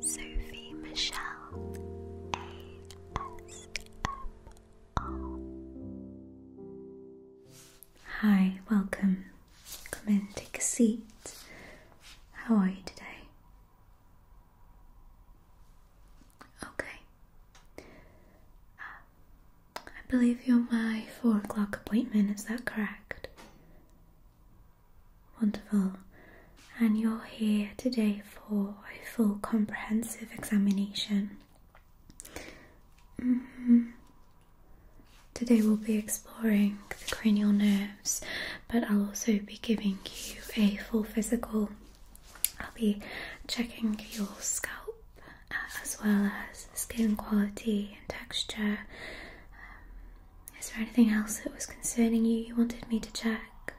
Sophie Michelle ASMR. Hi, welcome. Come in, take a seat. How are you today? Okay. I believe you're my four o'clock appointment, is that correct? Wonderful. And you're here today for a full comprehensive examination. Mm-hmm. Today we'll be exploring the cranial nerves, but I'll also be giving you a full physical. I'll be checking your scalp uh, as well as skin quality and texture. Um, is there anything else that was concerning you you wanted me to check?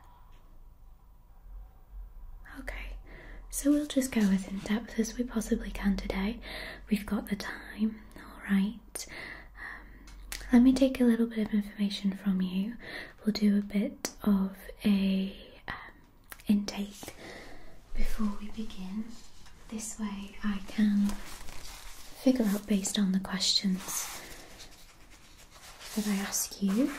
Okay, so we'll just go as in depth as we possibly can today. We've got the time, alright. Um, let me take a little bit of information from you. We'll do a bit of a um, intake before we begin. This way I can figure out based on the questions that I ask you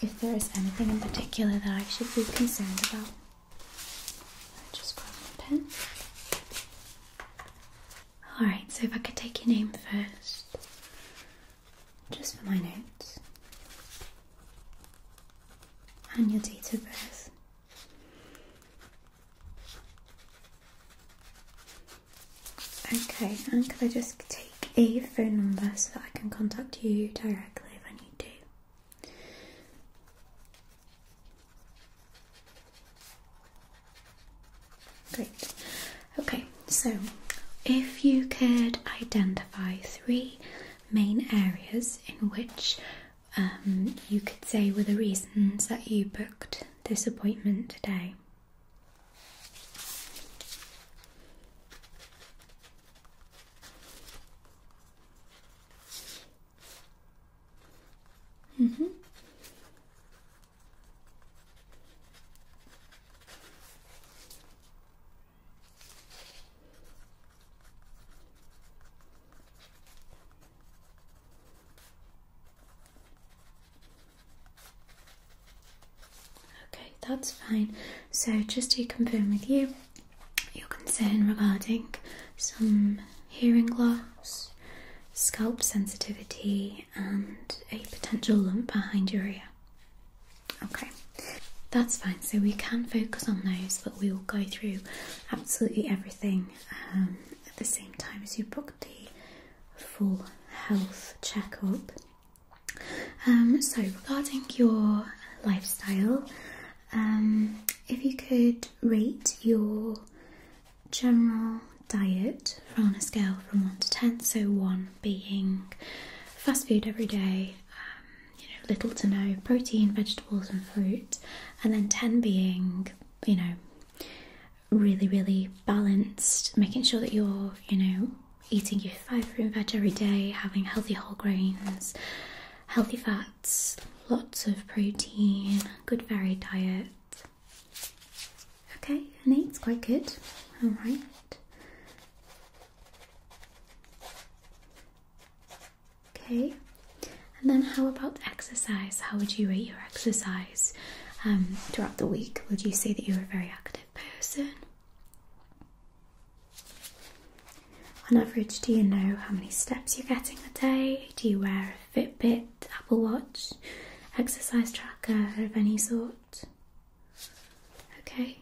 if there is anything in particular that I should be concerned about. just grab my pen. Alright, so if I could take your name first, just for my notes, and your date of birth. Okay, and could I just take a phone number so that I can contact you directly if I need to? Great. Okay, so if you could identify three main areas in which um, you could say were the reasons that you booked this appointment today. Mm -hmm. Okay, that's fine. So, just to confirm with you, your concern regarding some hearing loss, scalp sensitivity, and a potential lump behind your ear. Okay, that's fine. So, we can focus on those, but we will go through absolutely everything um, at the same time as you book conduct full health checkup. Um, so, regarding your lifestyle, um, if you could rate your general diet from a scale from 1 to 10, so 1 being fast food every day, um, you know, little to no protein, vegetables, and fruit, and then 10 being, you know, really, really balanced, making sure that you're, you know, eating your fibre and veg every day, having healthy whole grains, healthy fats, lots of protein, good varied diet. Okay, and eight's quite good. All right. Okay, and then how about exercise? How would you rate your exercise? Um, throughout the week, would you say that you're a very active person? On average, do you know how many steps you're getting a day? Do you wear a Fitbit, Apple Watch, exercise tracker of any sort? Okay.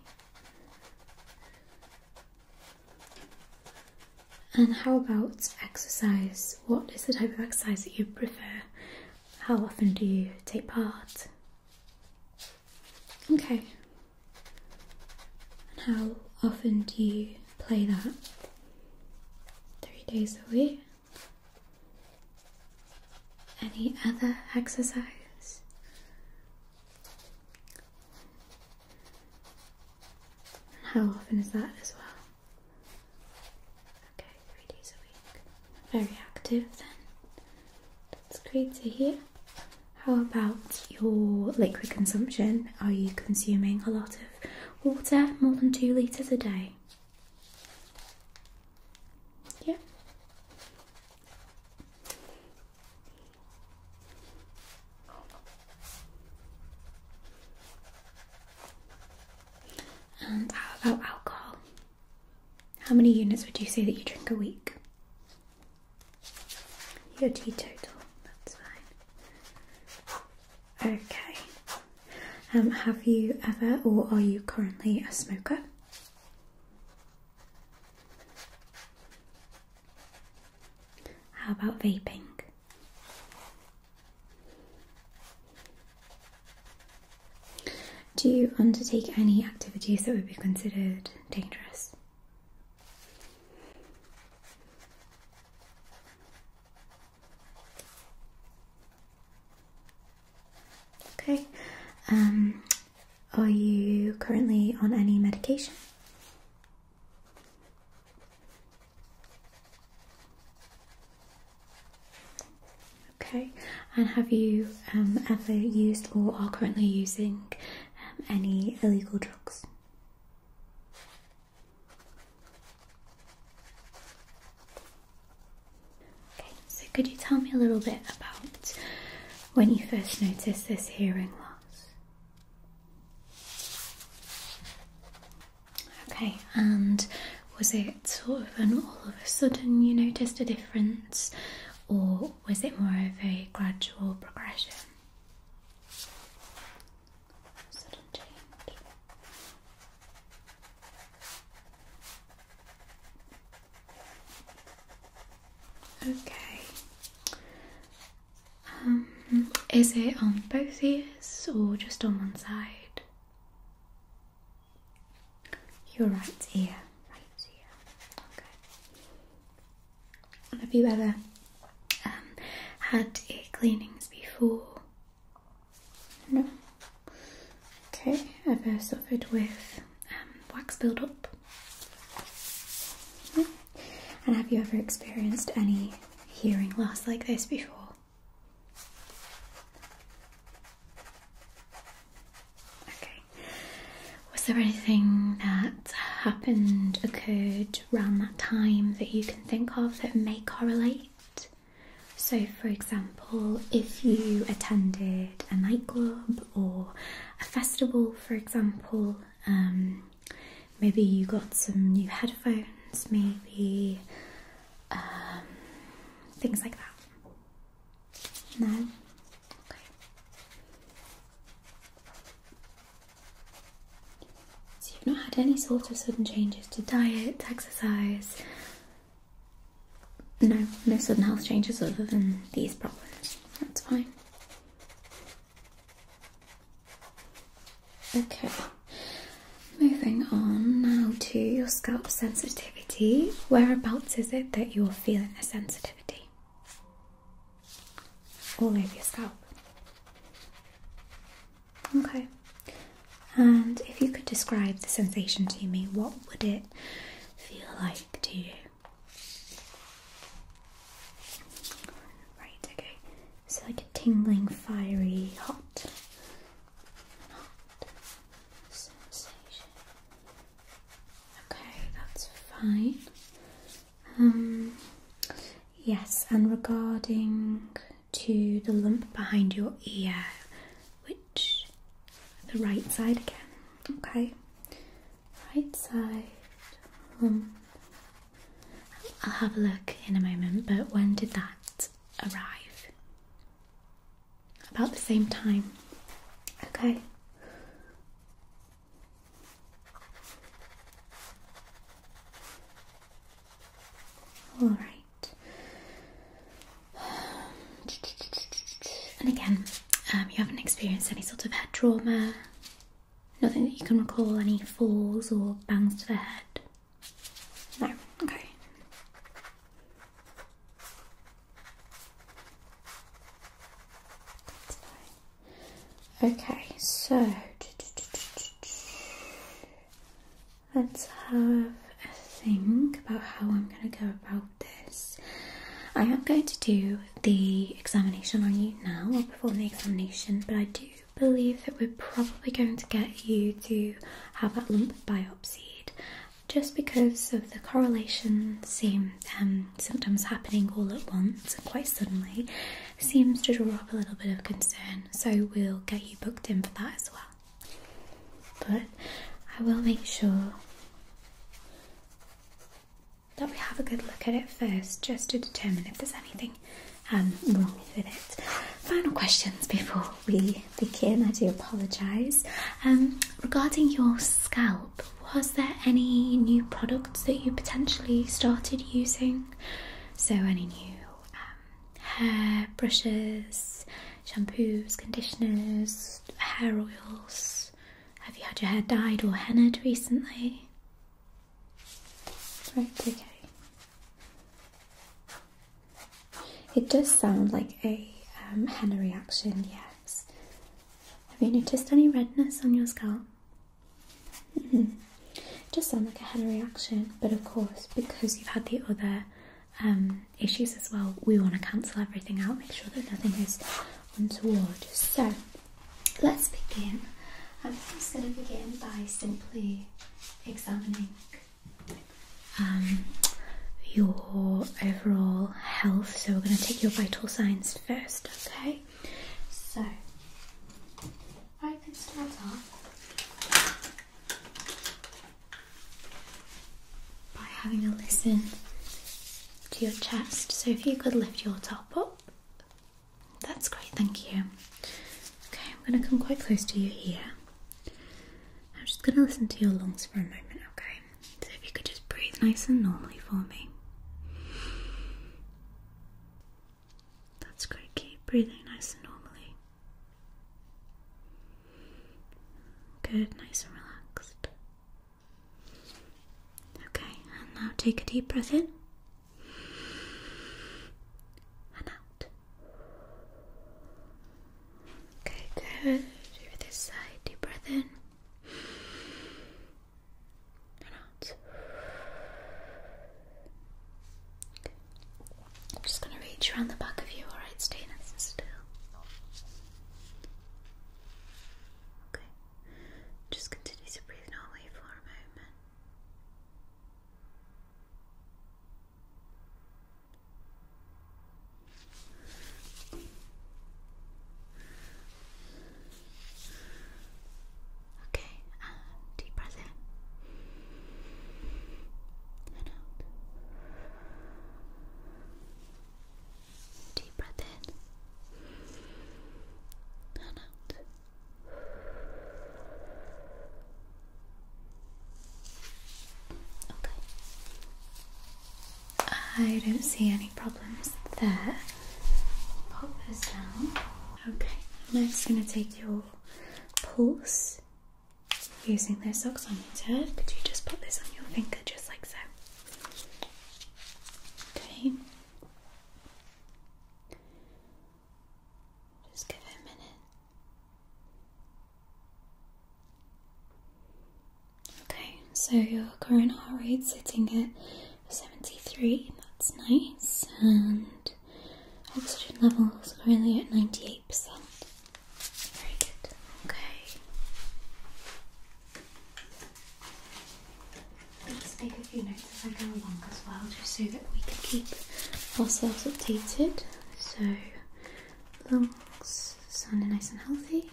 And how about exercise? What is the type of exercise that you prefer? how often do you take part? Okay. And how often do you play that? Three days a week. Any other exercise? how often is that as well? Okay, three days a week. Very active then. That's great to hear. How about your liquid consumption? Are you consuming a lot of water, more than two litres a day? Yeah. And how about alcohol? How many units would you say that you drink a week? You're teetotal, that's fine. Okay. Um, have you ever or are you currently a smoker? How about vaping? Do you undertake any activities that would be considered dangerous? Okay. Um, are you currently on any medication? Okay, and have you um, ever used or are currently using um, any illegal drugs? Okay, so could you tell me a little bit about when you first noticed this hearing loss? Okay, and was it sort of an all of a sudden you noticed a difference, or was it more of a gradual progression? Sudden change. Okay. Um, is it on both ears or just on one side? Your right ear, have you ever um, had ear cleanings before? No. Okay. Ever uh, suffered with um, wax buildup? No. And have you ever experienced any hearing loss like this before? Okay. Was there anything that happened, occurred around that time that you can think of that may correlate? So, for example, if you attended a nightclub or a festival, for example, um, maybe you got some new headphones, maybe um, things like that. No? Okay. So you've not had any sort of sudden changes to diet, exercise? No, no sudden health changes other than these problems. That's fine. Okay, moving on now to your scalp sensitivity. Whereabouts is it that you're feeling the sensitivity? All over your scalp. Okay, and if you could describe the sensation to me, what would it feel like to you? Right, okay, so like a tingling, fiery, hot. Okay, that's fine. Um, yes, and regarding to the lump behind your ear, which the right side again. Okay, right side I'll have a look in a moment. But when did that arrive about the same time. Okay. All right. And again, um, you haven't experienced any sort of head trauma. Nothing that you can recall, any falls or bangs to the head. No. Okay. Okay, so let's have a think about how I'm going to go about this. I am going to do the examination on you now, I'll perform the examination, but I do believe that we're probably going to get you to have that lump biopsied just because of the correlation, same um, sometimes happening all at once quite suddenly, seems to draw up a little bit of concern. So we'll get you booked in for that as well. But I will make sure that we have a good look at it first just to determine if there's anything um, Final questions before we begin. I do apologise. Um, regarding your scalp, was there any new products that you potentially started using? So, any new um, hair brushes, shampoos, conditioners, hair oils? Have you had your hair dyed or hennaed recently? Right, okay. It does sound like a um, henna reaction, yes. Have you noticed any redness on your scalp? Just mm-hmm. sound like a henna reaction, but of course, because you've had the other um, issues as well, we want to cancel everything out, make sure that nothing is untoward. So, let's begin. I'm just going to begin by simply examining um, your overall health. So, we're going to take your vital signs first, okay? So, I can start off by having a listen to your chest. So, if you could lift your top up, that's great, thank you. Okay, I'm going to come quite close to you here. I'm just going to listen to your lungs for a moment, okay? So if you could just breathe nice and normally for me. That's great, keep breathing nice and normally. Good, nice and relaxed. Okay, and now take a deep breath in and out. Okay, good. Do this side, deep breath in out. I'm just gonna reach around the back of you. All right, stay nice and still. Okay, just continue to breathe normally for a moment. Okay, deep breath in out. Deep breath in out. Okay. I don't see any problems there. Pop this down. Okay, I'm just going to take your pulse using those socks this oximeter. Could you just put this on your finger just like so? Okay. Just give it a minute. Okay, so your current heart rate sitting at 73, that's nice, and oxygen levels currently at 98%. Very good, okay. Let's make a few notes as I go along as well, just so that we can keep ourselves updated. So lungs sounding nice and healthy.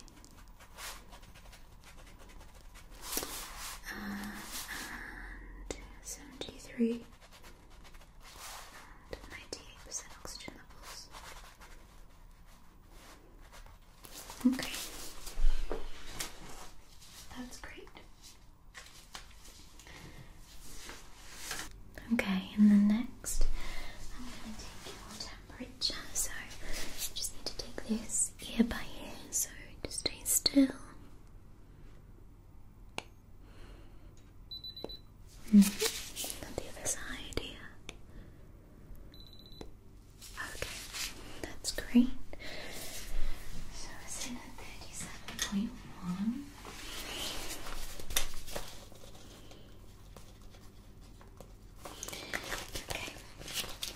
and 73 98% oxygen levels. Okay. That's great. Okay, and the next I'm going to take your temperature. So you just need to take this ear by ear, so just stay still. Mm the other side here. Okay, that's great. So it's in at 37.1. Okay.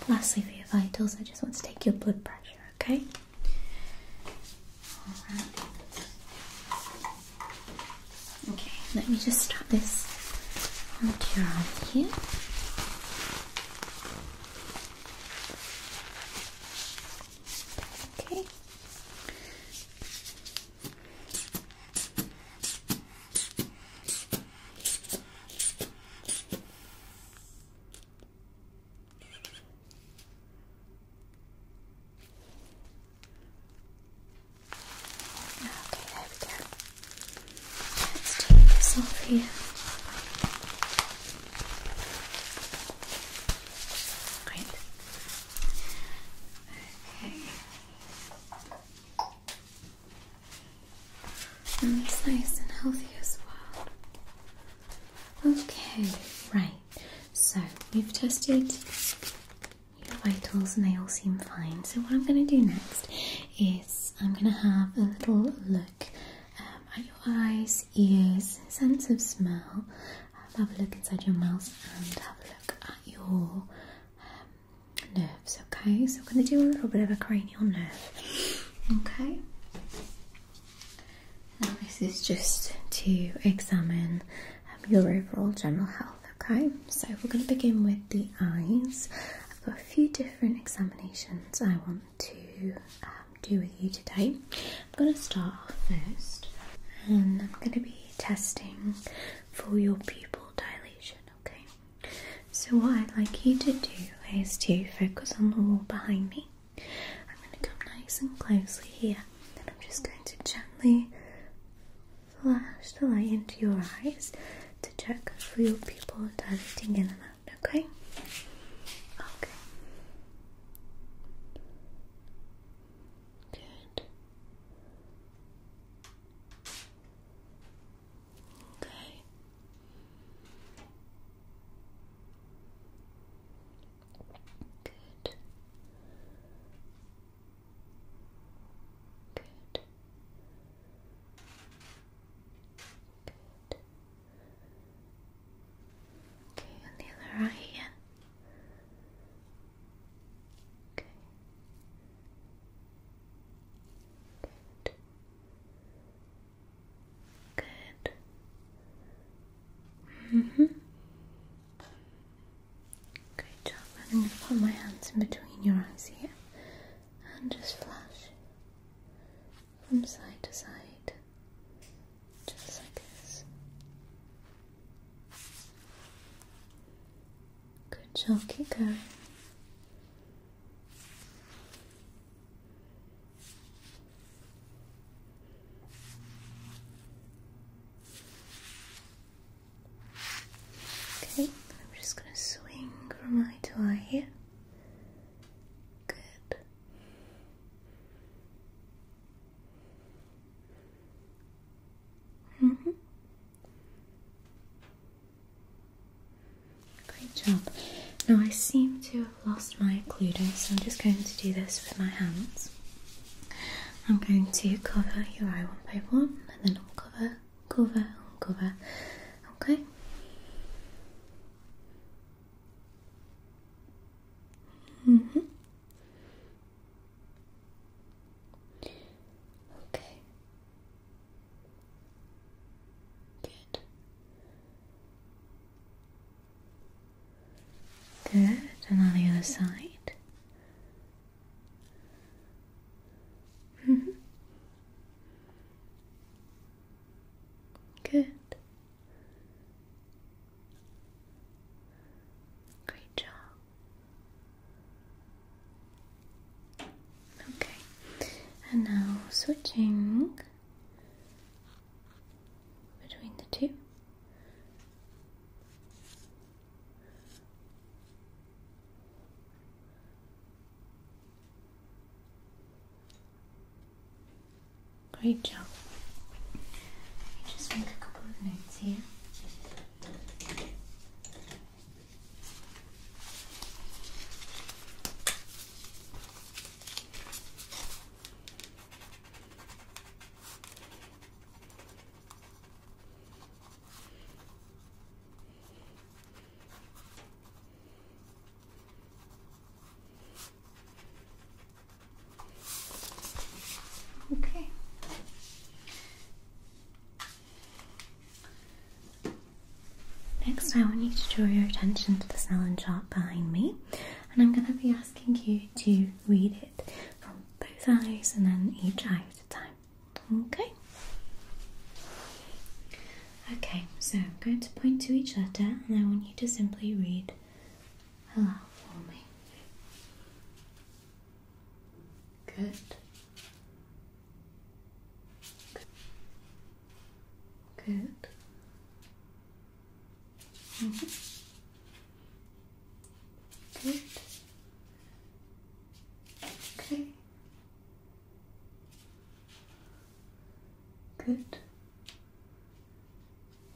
Lastly, for your vitals, I just want to take your blood pressure, okay? Okay, let me just strap this onto your arm here. Okay. Okay, there we go. Let's take this off here. Great. Okay. And nice and healthy as well. Okay, right. So we've tested your vitals and they all seem fine. So what I'm going to do next is I'm going to have a little look um, at your eyes, ears, sense of smell, have a look inside your mouth and have a look at your um, nerves. Okay, so we're going to do a little bit of a cranial nerve. Okay. Now this is just to examine um, your overall general health. Okay, so we're going to begin with the eyes. I've got a few different examinations I want to um, do with you today. I'm going to start off first and I'm going to be testing for your pupil dilation, okay? So, what I'd like you to do is to focus on the wall behind me. I'm going to come nice and closely here and I'm just going to gently flash the light into your eyes to check for your pupil dilating and out, okay? Okay. Good. Okay. Good. Good. Good. Okay, on the other eye here. Okay. Good. Good. hmm Great job. I'm going to put my hands in between your eyes here and just flash from side to side just like this. Good job, keep Okay, I'm just going to swing from eye to here. Good. Mm-hmm. Great job. Now I seem to have lost my occluder, so I'm just going to do this with my hands. I'm going to cover your eye one by one, and then I'll cover, cover, cover. Okay. Mm -hmm. Okay. Good. Good. And on the other side. Mm-hmm. Good. Great job. Okay, and now switching between the two. Great job. Let me just make a couple of notes here. Okay. Next, I want you to draw your attention to the salon chart behind me, and I'm going to be asking you to read it from both eyes and then each eye at a time. Okay? Okay, so I'm going to point to each letter, and I want you to simply read Allow for Good. Good. Good. Mm Good. Okay. Good.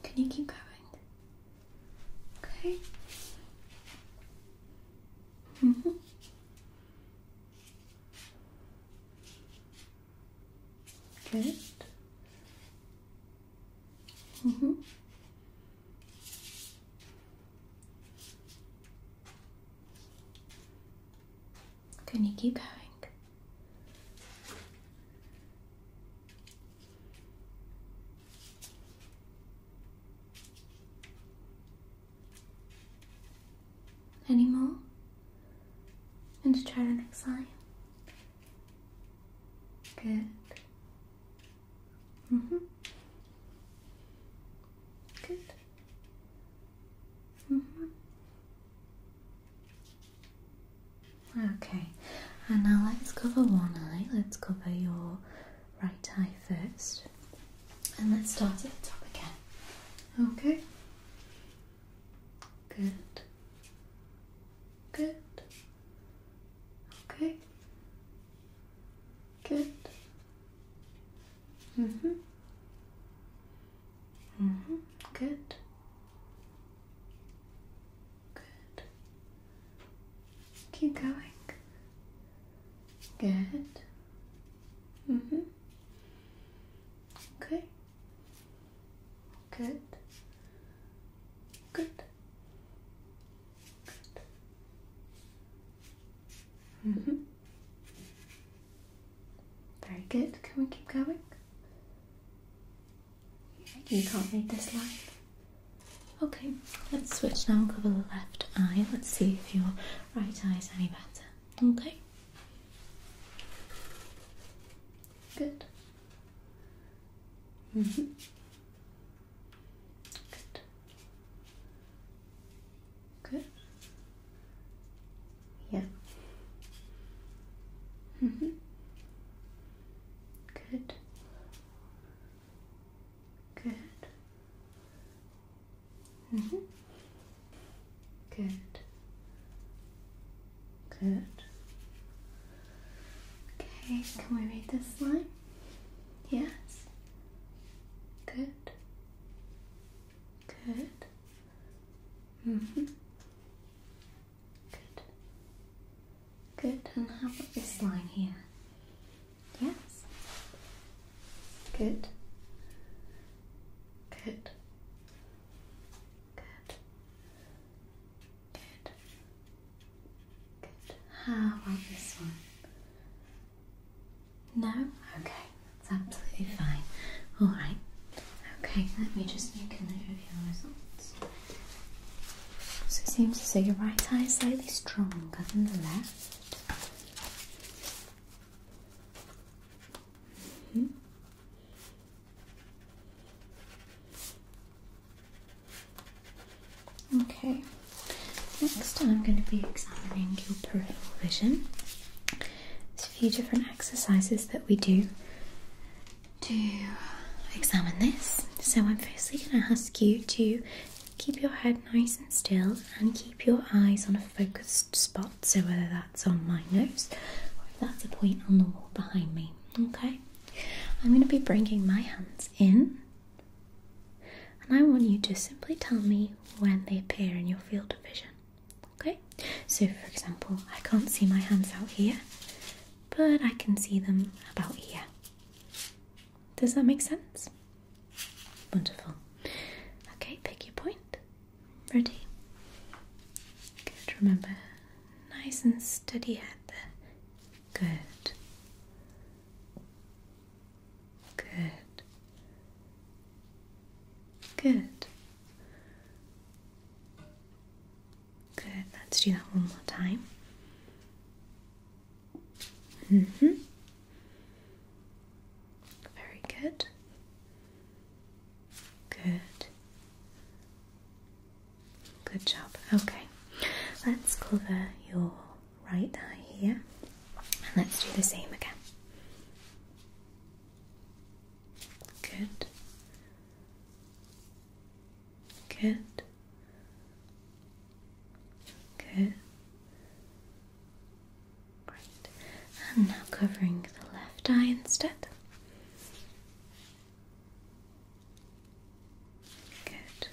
Can you keep going? Okay. Mm -hmm. Good. -hmm. Can you keep going? Any more? And to try the next line. Good. Mhm. Mm Good. Mhm. Okay, and now let's cover one eye. Let's cover your right eye first, and let's start at the top again. Okay, good, good, okay, good, hmm, hmm, good. Good. Keep going. Good. Mm-hmm. Okay. Good. Good. Good. Mm-hmm. Very good. Can we keep going? You can't read this line. Okay, let's switch now. Cover the left eye. Let's see if your right eye is any better. Okay. Good. hmm Good. Good. Yeah. hmm Good. Good. -hmm. Good. Good. Okay, can we read this line? Yes. Good. Good. hmm Good. Good. And how about this line here? Yes. Good. Good. Good. Good. Good. How about this one? No? Okay, that's absolutely fine. Alright. Okay, let me just make a note of your results. So it seems to say your right eye is slightly stronger than the left. Mm -hmm. Okay, next I'm going to be examining your peripheral vision. There's a few different exercises that we do to examine this. So, I'm firstly going to ask you to keep your head nice and still and keep your eyes on a focused spot. So, whether that's on my nose or that's a point on the wall behind me. Okay, I'm going to be bringing my hands in. And I want you to simply tell me when they appear in your field of vision. Okay? So, for example, I can't see my hands out here but I can see them about here. Does that make sense? Wonderful. Okay, pick your point. Ready? Good, remember, nice and steady head there. Good. Good. Good. Good, let's do that one more time. Mm hmm. Very good. Good. Good job. Okay, let's cover your right eye here and let's do the same again. Good. Good. Good. Great. And now covering the left eye instead. Good.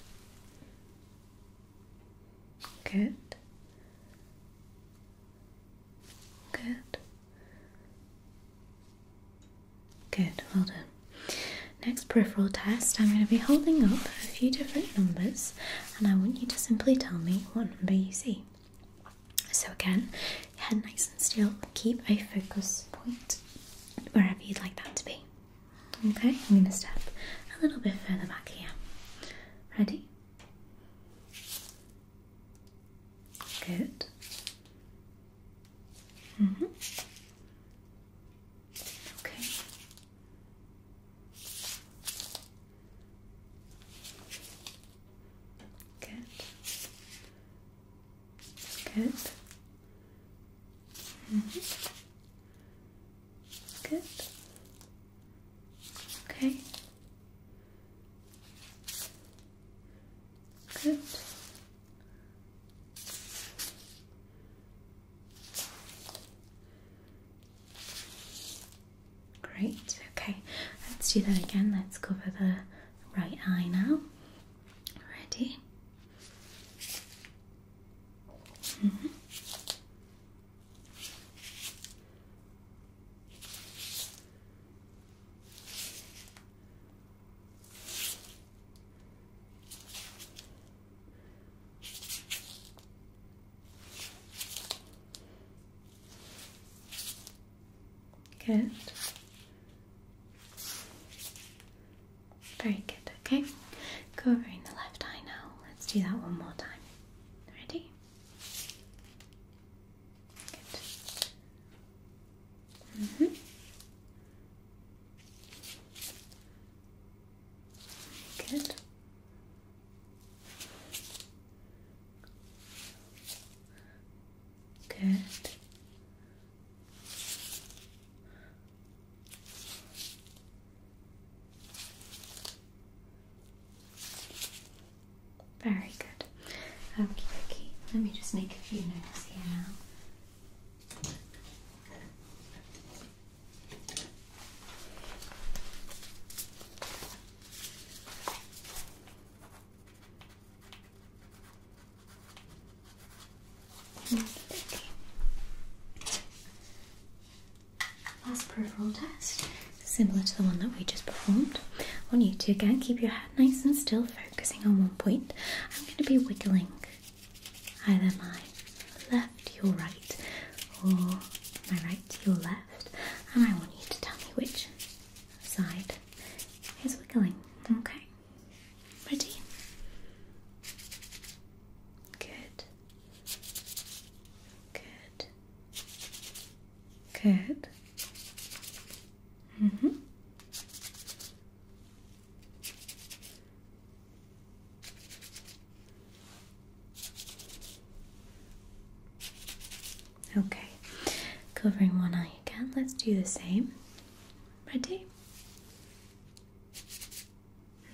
Good. Good. Good, well done. Next peripheral test, I'm going to be holding up a few different numbers and I want you to simply tell me what number you see. So, again, head nice and still, keep a focus point wherever you'd like that to be. Okay, I'm going to step a little bit further back here. Ready? Good. Mm hmm Okay. Good. Good. Mm -hmm. Good. Okay. Good. Great, okay, let's do that again. Let's cover the right eye now. Ready? Mm-hmm. Good. Very good, okay? Covering the left eye now. Let's do that one more time. Ready? Good. Good. Good. Very good. Okay, okay. Let me just make a few notes here now. Last peripheral test, similar to the one that we just performed. I want you to again keep your head nice and still, focusing on one point. I'm going to be wiggling either my left, your right, or my right, your left, and I want you to tell me which side is wiggling. Okay, ready? Good, good, good. Mm hmm. Okay, covering one eye again. Let's do the same. Ready?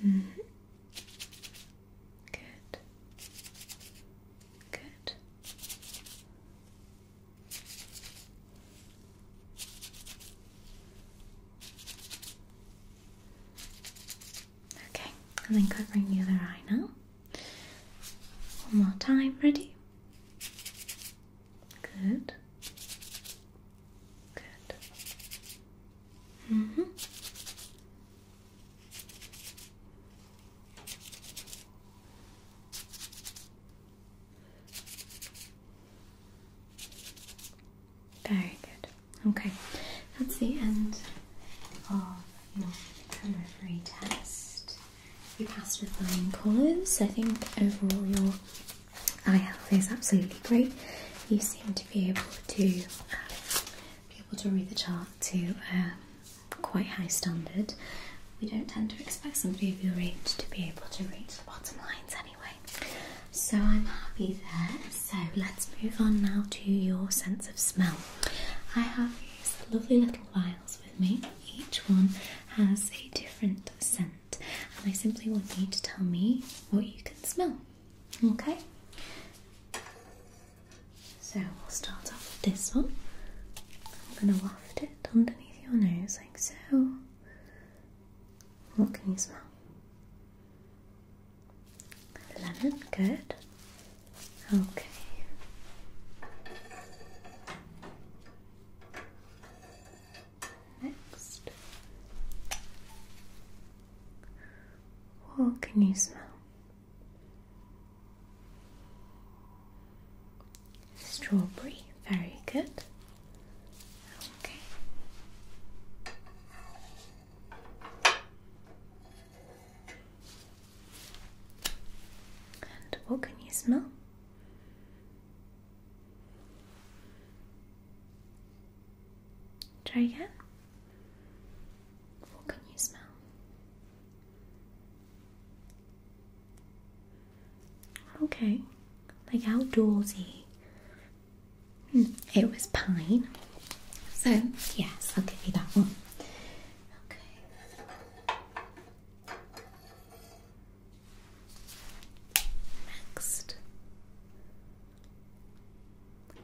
-hmm. Good. Good. Okay, and then covering the other eye now. One more time, ready? Good. Good. Mm hmm. Very good. Okay, that's the end of your preliminary test. You passed with flying colours. I think overall your eye health is absolutely great. You seem to be able to um, be able to read the chart to um, quite high standard. We don't tend to expect somebody of your age to be able to read the bottom lines anyway. So I'm happy there. So let's move on now to your sense of smell. I have these lovely little vials with me. Each one has a different scent, and I simply want you to tell me what you can smell. Okay? So we'll start off with this one. I'm going to waft it underneath your nose like so. What can you smell? Lemon, good. Okay. Next. What can you smell? Strawberry, very good. Okay. And what can you smell? Try again. What can you smell? Okay, like outdoorsy. Mm, it was pine. So, yes, I'll give you that one. Okay. Next.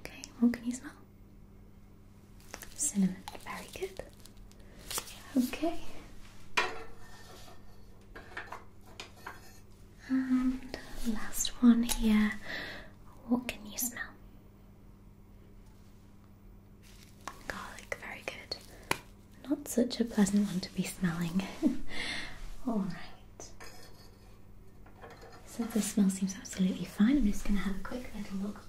Okay, what can you smell? Cinnamon. Very good. Okay. And last one here. What can you smell? Garlic, very good. Not such a pleasant one to be smelling. Alright. So the smell seems absolutely fine. I'm just going to have a quick little look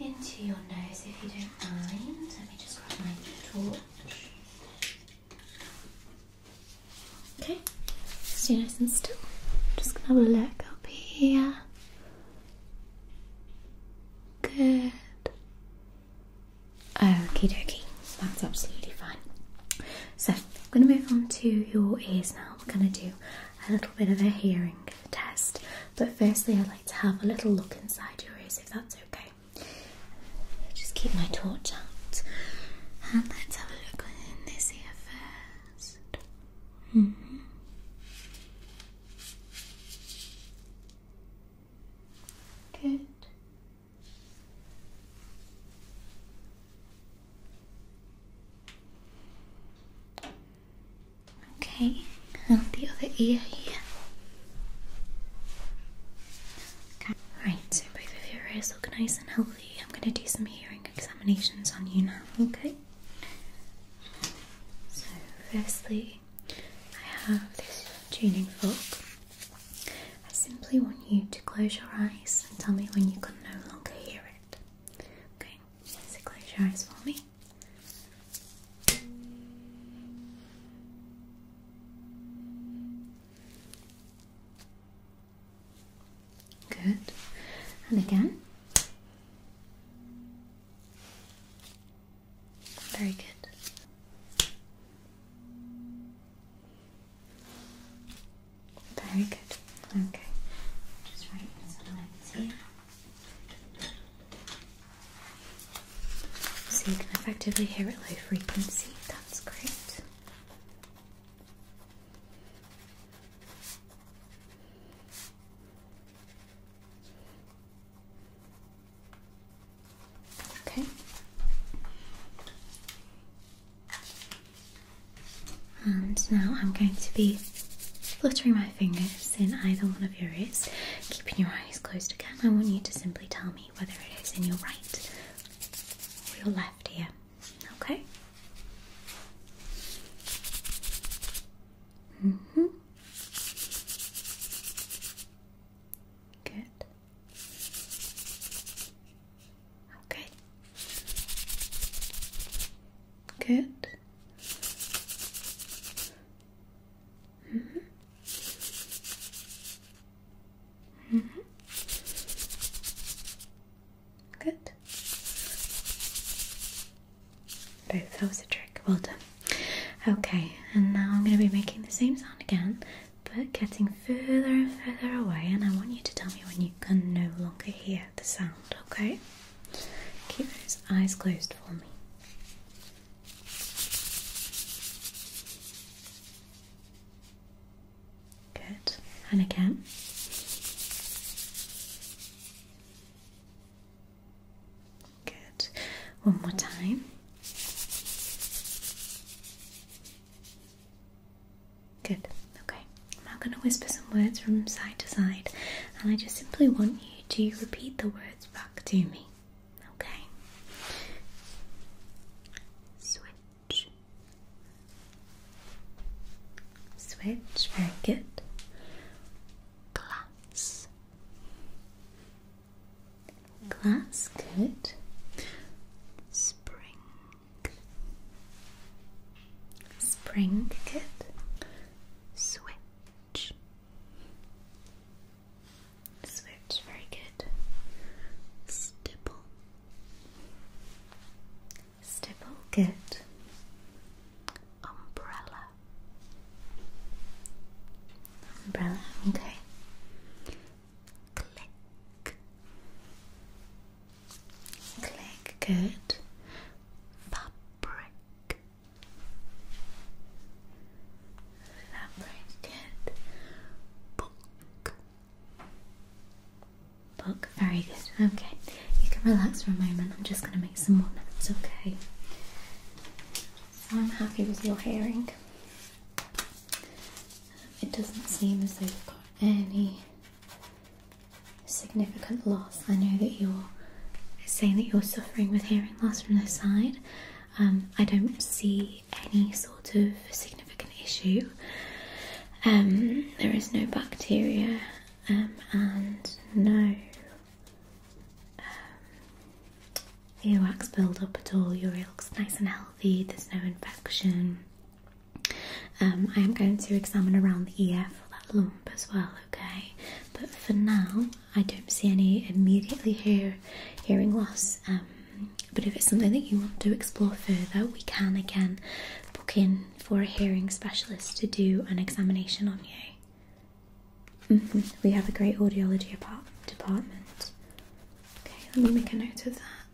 into your nose if you don't mind. Let me just grab my torch. Okay, stay nice and still. Just gonna have a look up here. Good. Okay, dokie, that's absolutely fine. So I'm gonna move on to your ears now. We're gonna do a little bit of a hearing test, but firstly, I'd like to have a little look inside your ears if that's okay. Just keep my torch out. And let's have a look in this ear first. Mm-hmm. Good. Okay, and the other ear here. Okay. Right, so both of your ears look nice and healthy. I'm going to do some hearing examinations on you now, okay? So, firstly, I have this tuning fork. I simply want you to close your eyes and tell me when you can no longer hear it. Okay, so close your eyes for me. Good. And again. Very good. Very good. Okay. Just write some lines here. So you can effectively hear it low frequency, that's great. Okay. And now I'm going to be fluttering my fingers in either one of your ears, keeping your eyes closed again. I want you to simply tell me me whether it is in your right or your left ear. Okay? Mm hmm. Good. Okay. Good. Mm -hmm. Mm -hmm. Good. Both. That was a trick. Well done. Okay, and now I'm going to be making the same sound again, but getting further and further away. And I want you to tell me when you can no longer hear the sound. Okay. Keep those eyes closed for me. Good. And again. Good. One more time. Good. Okay. I'm now going to whisper some words from side to side, and I just simply want you to repeat the words back to me. Okay. Switch. Switch. Very good. Glass. Glass. Good. Spring. Spring. Good. Switch. Switch, very good. Stipple. Stipple, good. Umbrella. Umbrella, okay. Click. Click, good. Fabric. Very good. Okay. You can relax for a moment. I'm just going to make some more notes, okay? I'm happy with your hearing. It doesn't seem as though you've got any significant loss. I know that you're saying that you're suffering with hearing loss from this side. Um, I don't see any sort of significant issue. Um, there is no bacteria um, and no um, earwax build-up at all. Your ear looks nice and healthy. There's no infection. Um, I am going to examine around the ear for that lump as well, okay? But for now, I don't see any immediately hear, hearing loss, um, but if it's something that you want to explore further, we can again book in for a hearing specialist to do an examination on you. Mm-hmm. We have a great audiology department. Okay, let me make a note of that.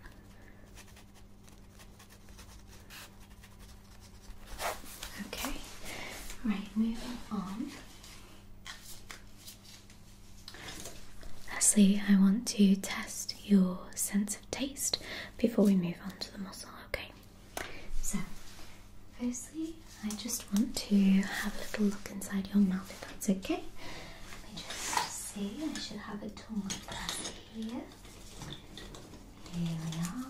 Okay, right, moving on. Lastly, I want to test your sense of taste before we move on to the muscle, okay? So, firstly, I just want to have a little look inside your mouth if that's okay. Let me just see, I should have a tongue like that here. Here we are.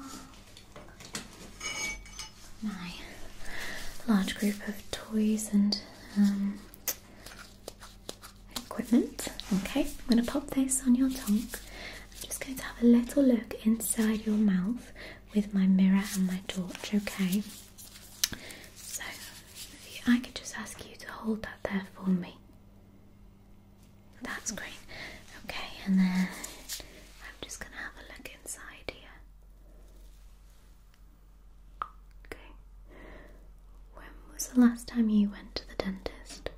My large group of toys and um, equipment. Okay, I'm going to pop this on your tongue. I'm just going to have a little look inside your mouth with my mirror and my torch, okay? So, I could just ask you to hold that there for me. That's great. Okay, and then I'm just going to have a look inside here. Okay. When was the last time you went to the dentist?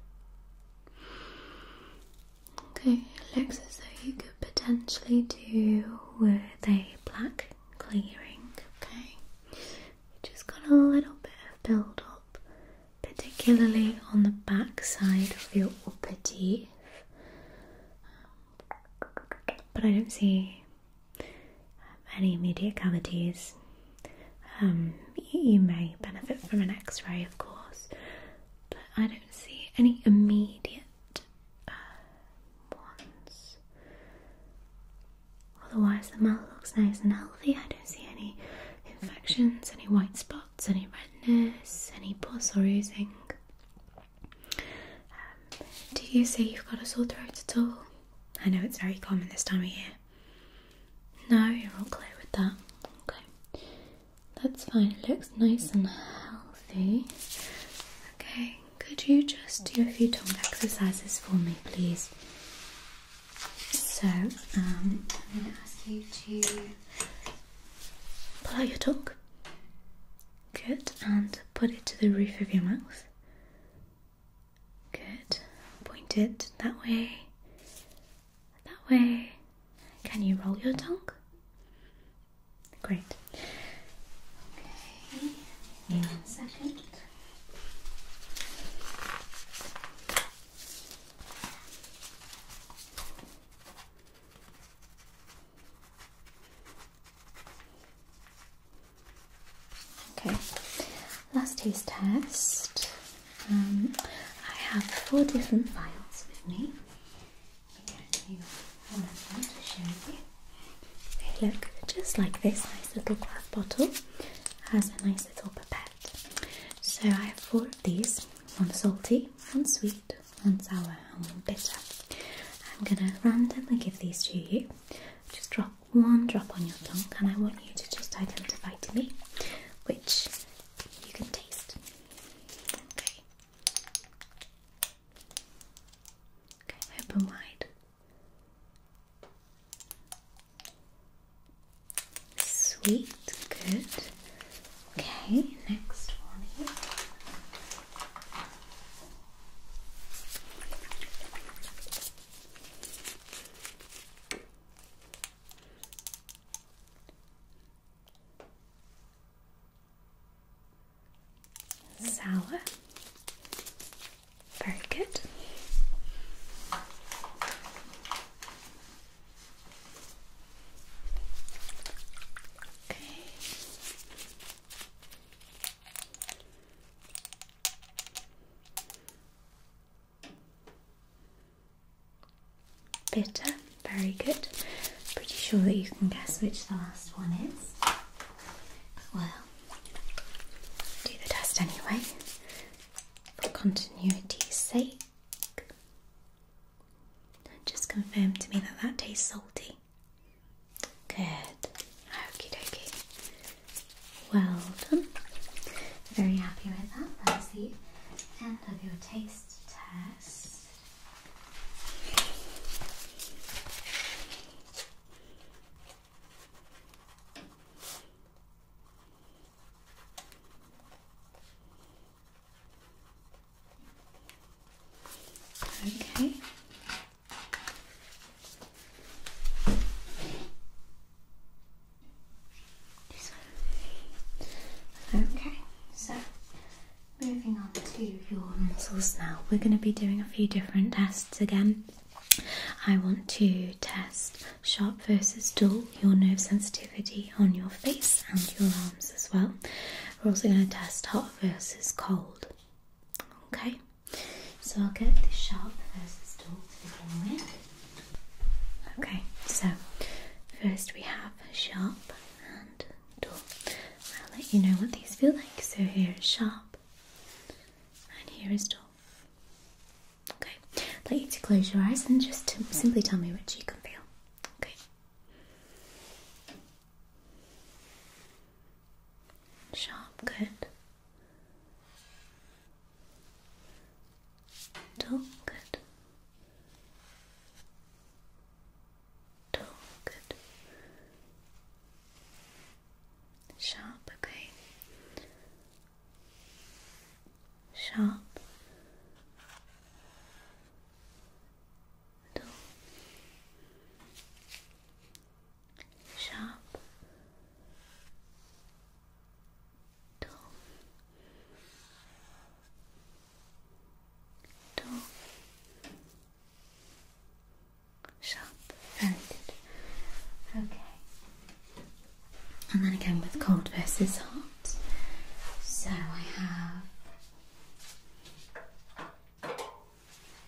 Okay, it looks as though you could potentially do with a black clearing. Okay, you just got a little bit of build up, particularly on the back side of your upper teeth. But I don't see any immediate cavities. Um, you, may benefit from an x ray, of course, but I don't see any immediate uh, ones. Otherwise, the mouth looks nice and healthy. I don't see any infections, any white spots, any redness, any pus or oozing. Um, do you say you've got a sore throat at all? I know it's very common this time of year. No, you're all clear with that. Okay, that's fine. It looks nice and healthy. Okay, could you just do a few tongue exercises for me, please? So, um, I'm going to ask you to pull out your tongue. Good, and put it to the roof of your mouth. Good. Point it that way. That way. Can you roll your tongue? Great. Okay. One second. Okay, last taste test. Um, I have four different files with me. They look just like this nice little glass bottle. Has a nice little pipette. So I have four of these: one salty, one sweet, one sour, and one bitter. I'm gonna randomly give these to you. Just drop one drop on your tongue, and I want you to just identify to me which you can taste. Okay. Okay, open wide. Sweet, good. Okay, next one here. Sour. Very good. Okay. Bitter, very good. Pretty sure that you can guess which the last one is. well, do the test anyway. For continuity's sake. Just confirm to me that that tastes salty. Good. Okie dokie. Well done. Very happy with that. That's the end of your taste test. Okay, Okay, so moving on to your muscles now. We're going to be doing a few different tests again. I want to test sharp versus dull, your nerve sensitivity on your face and your arms as well. We're also going to test hot versus cold. Okay, so I'll get this sharp versus dull to begin with. Okay, so first we have sharp and dull. I'll let you know what these feel like. So here is sharp and here is dull. Okay, I'd like you to close your eyes and just simply tell me which you can feel. Okay. Sharp, good. Dull, good. Dull, good. Sharp, okay. Sharp. Dull sharp, dull, dull, sharp. Very Okay. And then again with cold versus hot. So I have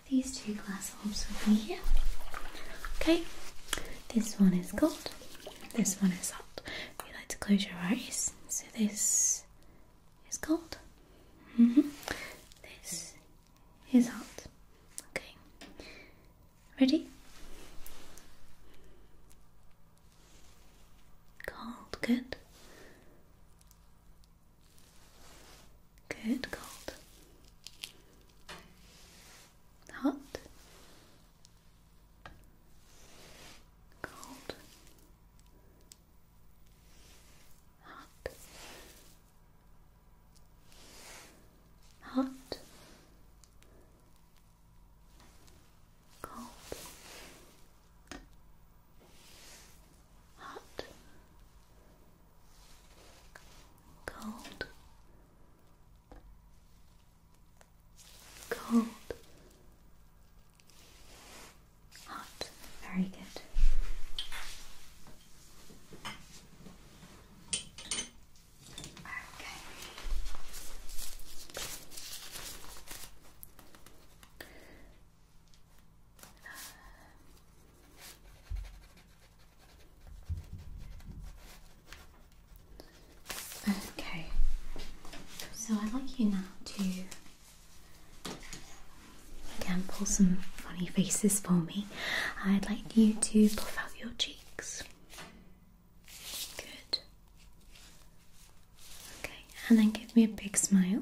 these two glass orbs will be here. Okay, this one is cold, this one is hot. We like to close your eyes, so this is cold, mm-hmm. this is hot. Okay, ready? Cold, good. Good, cold. Hot. Cold. Hot. Hot. Cold hot, cold, cold, hot. Very good. Okay. Okay, so I'd like you now to again pull some funny faces for me. I'd like you to puff out your cheeks. Good. Okay, and then give me a big smile.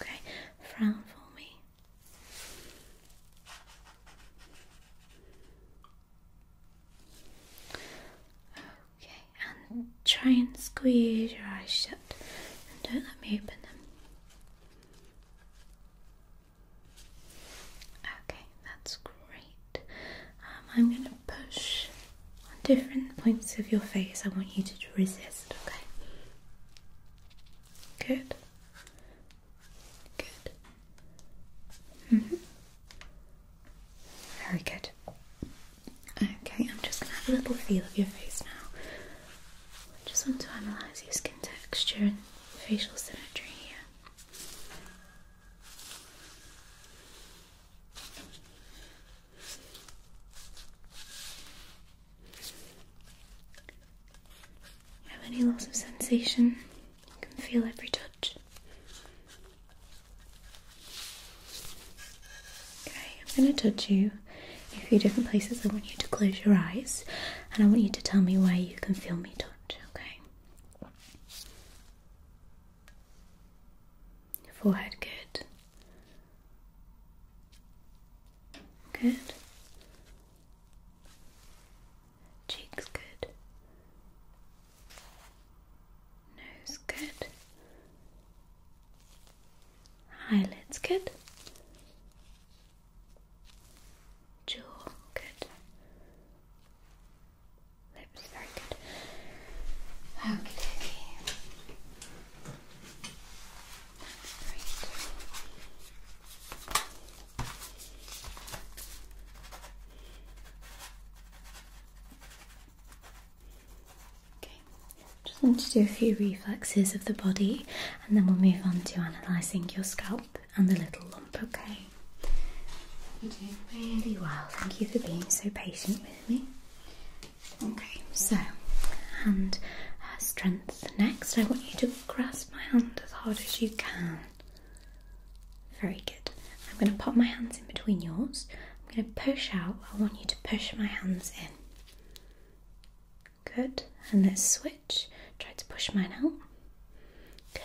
Okay, frown for me. Okay, and try and squeeze your eyes shut and don't let me open them. Okay, that's great. Um, I'm going to push on different points of your face. I want you to resist, okay? Good. Good. Mm-hmm. Very good. Okay, I'm just going to have a little feel of your face now. I just want to analyse your skin texture and facial symmetry here. Have any loss of sensation? You can feel every touch. Okay, I'm going to touch you a few different places. I want you to close your eyes and I want you to tell me where you can feel me touch, okay? forehead, good. Good. Cheeks, good. Nose, good. Eyelids, good. Jaw, good. Lips, very good. Okay. Just want to do a few reflexes of the body and then we'll move on to analysing your scalp and the little lump, okay? You're doing really well. Thank you for being so patient with me. Okay, so hand uh, strength next. I want you to grasp my hand as hard as you can. Very good. I'm going to pop my hands in between yours. I'm going to push out. I want you to push my hands in. Good. And then switch. Try to push mine out.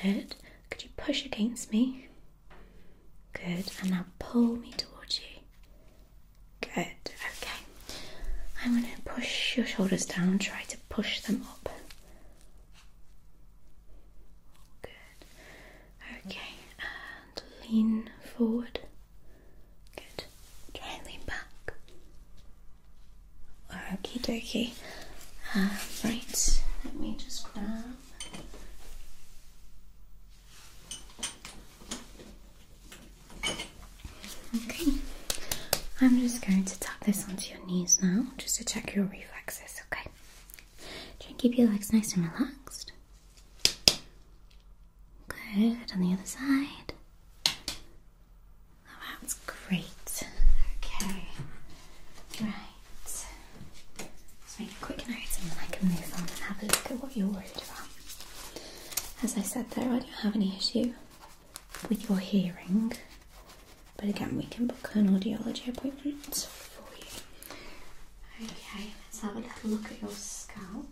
Good. Could you push against me? Good. And now pull me towards you. Good, okay. I'm going to push your shoulders down, try to push them up. Good. Okay, and lean forward. Good. Try and lean back. Okie dokie. Um, uh, right, let me just grab. Okay, I'm just going to tap this onto your knees now just to check your reflexes, okay? Try and keep your legs nice and relaxed. Good, on the other side. Oh, that's great. Okay, right. Let's make a quick note and then I can move on and have a look at what you're worried about as I said there, I don't have any issue with your hearing, but again, we can book an audiology appointment for you. Okay, let's have a little look at your scalp.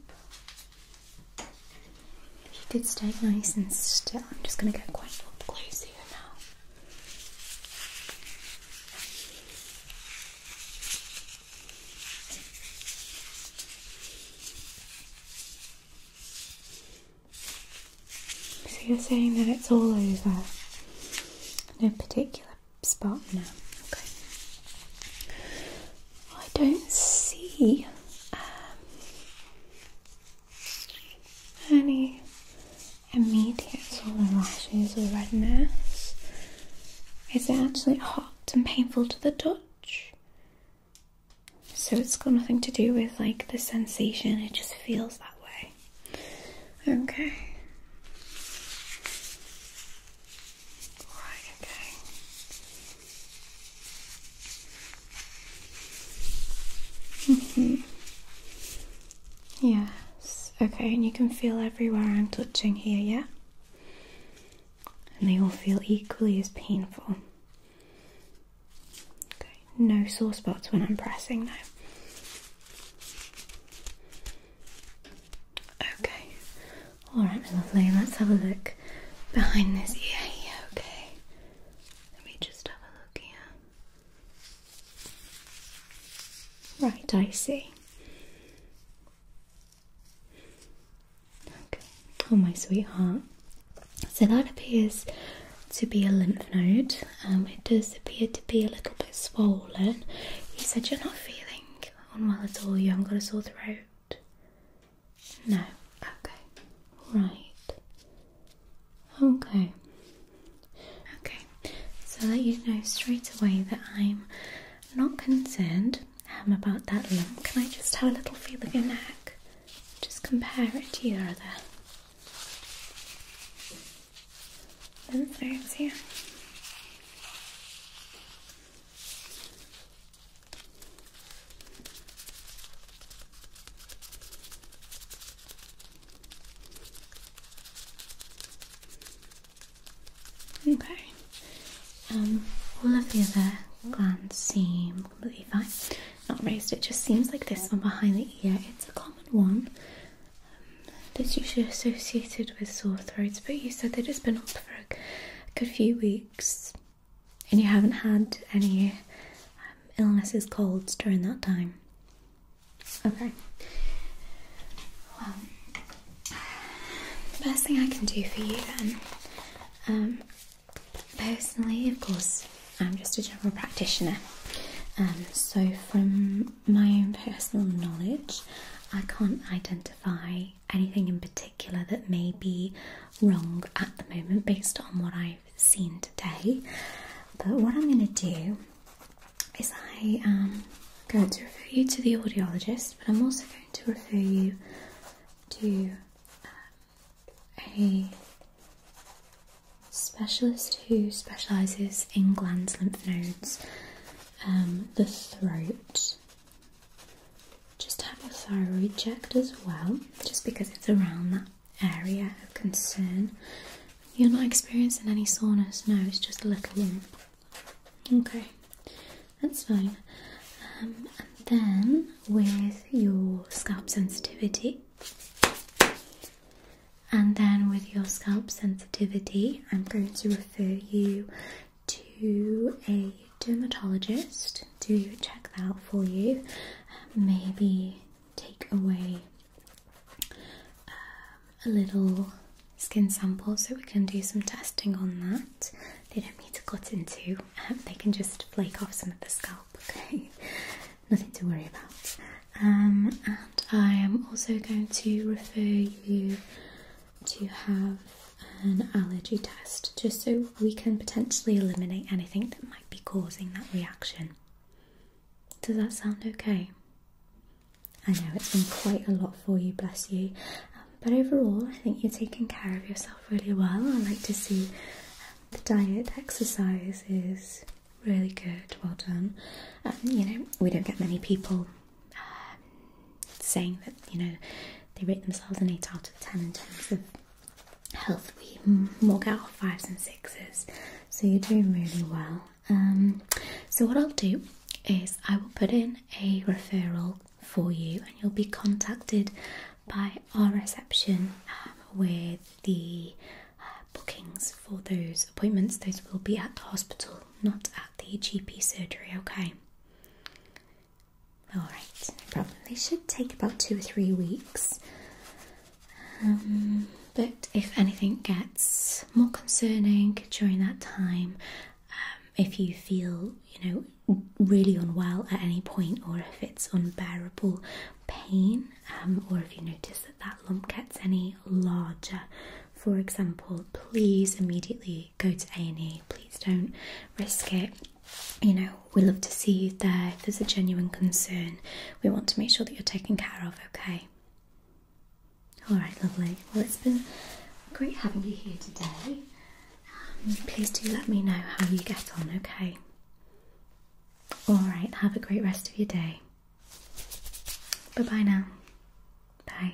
If you could stay nice and still, I'm just going to get quite a close here now. So you're saying that it's all over, no particular spot now. Okay. I don't see um, any immediate sort of or redness. Is it actually hot and painful to the touch? So it's got nothing to do with like the sensation, it just feels that way. Okay. Right, okay. Mm-hmm. Yes. Okay, and you can feel everywhere I'm touching here, yeah? and they all feel equally as painful. Okay, no sore spots when I'm pressing now. Okay, alright, my lovely, let's have a look behind this ear here, okay? Let me just have a look here. Right, I see. Oh, my sweetheart. So that appears to be a lymph node. Um, it does appear to be a little bit swollen. You said you're not feeling unwell at all. You haven't got a sore throat. No. Okay. Right. Okay. Okay. So i let you know straight away that I'm not concerned um, about that lump, can I just have a little feel of your neck? Just compare it to your other lymph nodes here. Okay. Um, all of the other glands seem completely fine. Not raised. It just seems like this one behind the ear. It's a common one. Um, that's usually associated with sore throats. But you said they it just been on for a good few weeks, and you haven't had any um, illnesses, colds during that time. Okay. Well, um, the best thing I can do for you then, um, personally, of course, I'm just a general practitioner. Um, so, from my own personal knowledge, I can't identify anything in particular that may be wrong at the moment based on what I've seen today. But what I'm going to do is I am um, going to refer you to the audiologist, but I'm also to refer you to um, a specialist who specialises in glands, lymph nodes, um, the throat. Just have your thyroid checked as well, just because it's around that area of concern. You're not experiencing any soreness, no, it's just a little lump. Okay, that's fine. Um, and then with your scalp sensitivity, and then with your scalp sensitivity, I'm going to refer you to a dermatologist to check that out for you. Maybe take away um, a little skin samples so we can do some testing on that. They don't need to cut into, um, they can just flake off some of the scalp, okay? Nothing to worry about. Um, and I am also going to refer you to have an allergy test just so we can potentially eliminate anything that might be causing that reaction. Does that sound okay? I know it's been quite a lot for you, bless you but overall, I think you're taking care of yourself really well. I like to see um, the diet, exercise is really good. Well done. Um, you know, we don't get many people um, saying that you know they rate themselves an eight out of ten in terms of health. We more get our fives and sixes, so you're doing really well. so what I'll do is I will put in a referral for you, and you'll be contacted by our reception um, with the uh, bookings for those appointments. Those will be at the hospital, not at the GP surgery, okay? Alright, no should take about two or three weeks. Um, but if anything gets more concerning during that time, um, if you feel you know really unwell at any point, or if it's unbearable pain, um, or if you notice that that lump gets any larger, for example, please immediately go to A&E. Please don't risk it. You know, we love to see you there. If there's a genuine concern, we want to make sure that you're taken care of. Okay. All right, lovely. Well, it's been great having you here today. Um, please do let me know how you get on, okay? Alright, have a great rest of your day. Bye bye now. Bye.